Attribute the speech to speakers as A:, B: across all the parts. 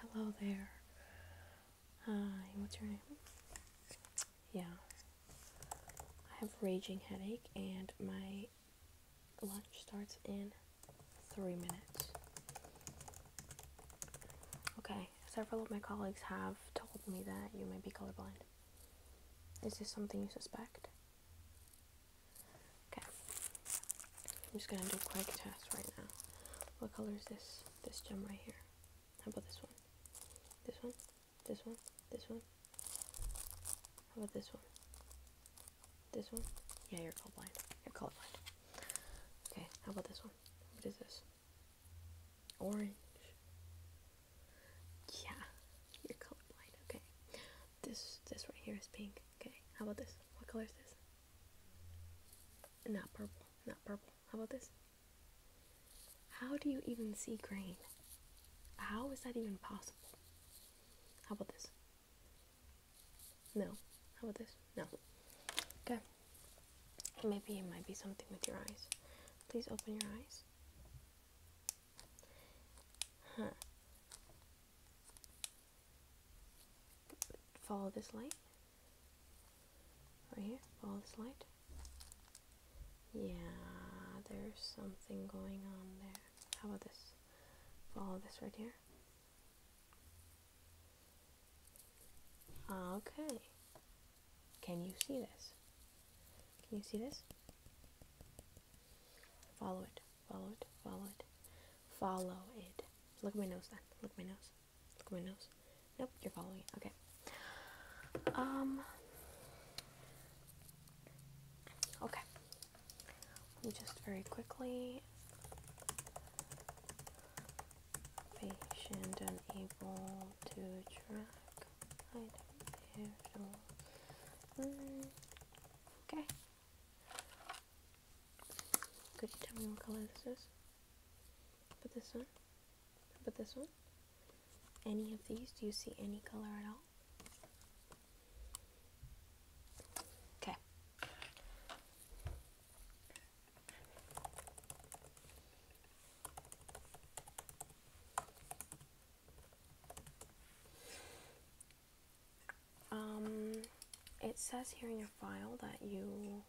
A: Hello there. Hi, what's your name? Yeah. I have raging headache and my lunch starts in three minutes. Okay, several of my colleagues have told me that you may be colorblind. Is this something you suspect? Okay. I'm just gonna do a quick test right now. What color is this? This gem right here. How about this one? This one? This one? This one? How about this one? This one? Yeah, you're colorblind. You're colorblind. Okay, how about this one? What is this? Orange. Yeah, you're colorblind. Okay. This this right here is pink. Okay, how about this? What color is this? Not purple, not purple. How about this? How do you even see green? How is that even possible? How about this? No. How about this? No. Okay. Maybe it might be something with your eyes. Please open your eyes. Huh. Follow this light. Right here, follow this light. Yeah, there's something going on there. How about this? Follow this right here. Okay. Can you see this? Can you see this? Follow it follow it, follow it, follow it. Look at my nose then. Look at my nose. Look at my nose. Nope, you're following Okay. Um. Okay. just very quickly. Patient unable to track. I don't care. Okay. Could you tell me what color this is? Put this one? Put this one? Any of these? Do you see any color at all? Okay. Um, it says here in your file that you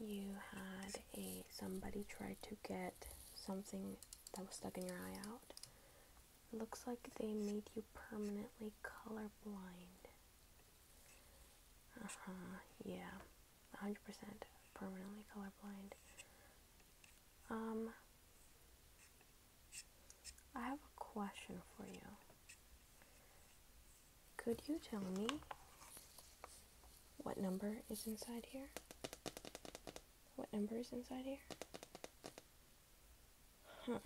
A: you had a somebody tried to get something that was stuck in your eye out. looks like they made you permanently colorblind. Uh huh. Yeah, 100% permanently colorblind. Um, I have a question for you. Could you tell me what number is inside here? What number is inside here? Huh.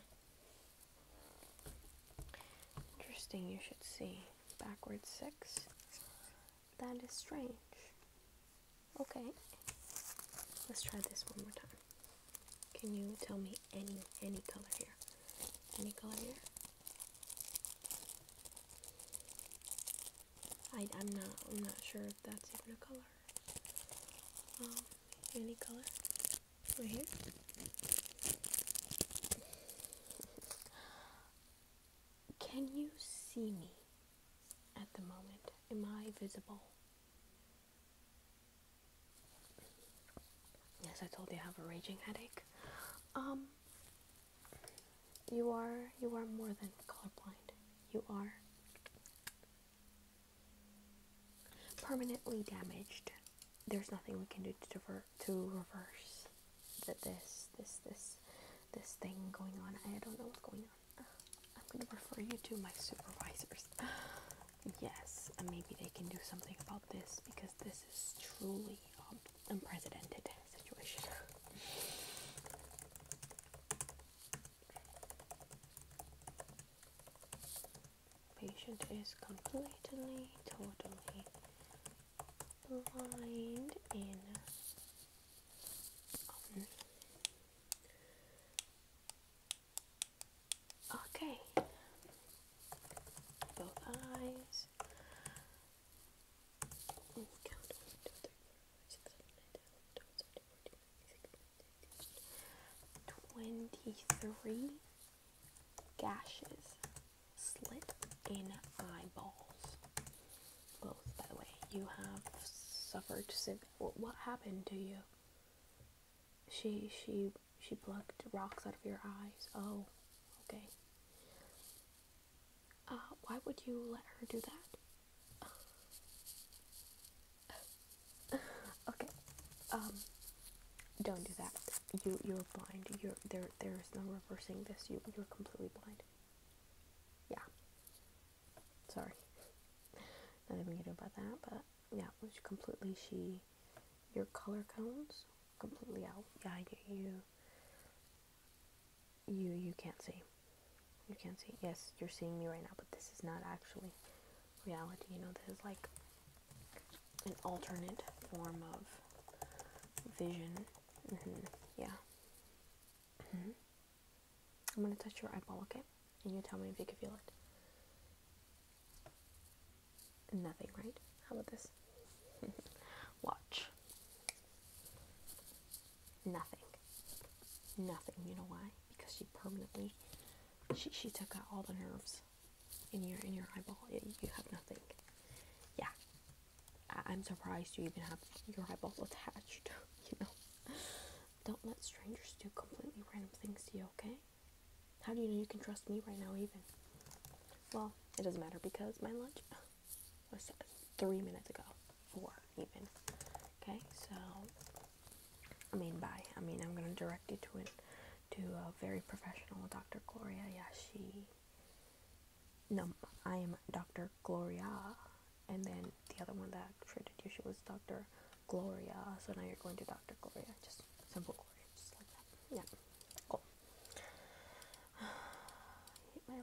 A: Interesting, you should see. Backwards 6 that is strange. Okay, let's try this one more time. Can you tell me any any color here? Any color here? I, I'm not I'm not sure if that's a color. Um, any color? Right here. Can you see me at the moment? Am I visible? Yes, I told you I have a raging headache. Um, you are you are more than colorblind. You are permanently damaged. There's nothing we can do to divert to reverse that this, this, this, this thing going on. I don't know what's going on. I'm going to refer you to my supervisors. Yes, maybe they can do something about this because this is truly um, unprecedented situation. Patient is completely, totally Blind in um, Okay, both eyes. 23 gashes, slit in eyeballs. Both, by the way, you have suffered. What, what happened to you? She she she plucked rocks out of your eyes. Oh, okay. Uh, why would you let her do that? okay. Um, don't do that you you're blind. You're there. There is no reversing this. You you're completely blind. Yeah. Sorry. Nothing we can do about that. But yeah, it was completely she. Your color cones completely out. Yeah, you you you, you can't see. You can't see. Yes, you're seeing me right now, but this is not actually reality. You know, this is like an alternate form of vision. Mm -hmm. Yeah. Mm -hmm. I'm gonna touch your eyeball, okay? And you tell me if you can feel it. Nothing, right? How about this? Watch. Nothing. Nothing. You know why? Because she permanently she she took out all the nerves in your in your eyeball. You have nothing. Yeah, I- am surprised you even have your eyeball attached. You know, don't let strangers do completely random things to you. Okay? How do you know you can trust me right now? Even well, it doesn't matter because my lunch was three minutes ago, four even. Okay, so I mean, by I mean, I'm gonna direct you to it to a very professional Dr. Gloria Yashi. No, I am Dr. Gloria, and then the other one that treated you, she was Dr. Gloria. So now you're going to Dr. Gloria, just simple Gloria, just like that. Yeah, cool. hate my life.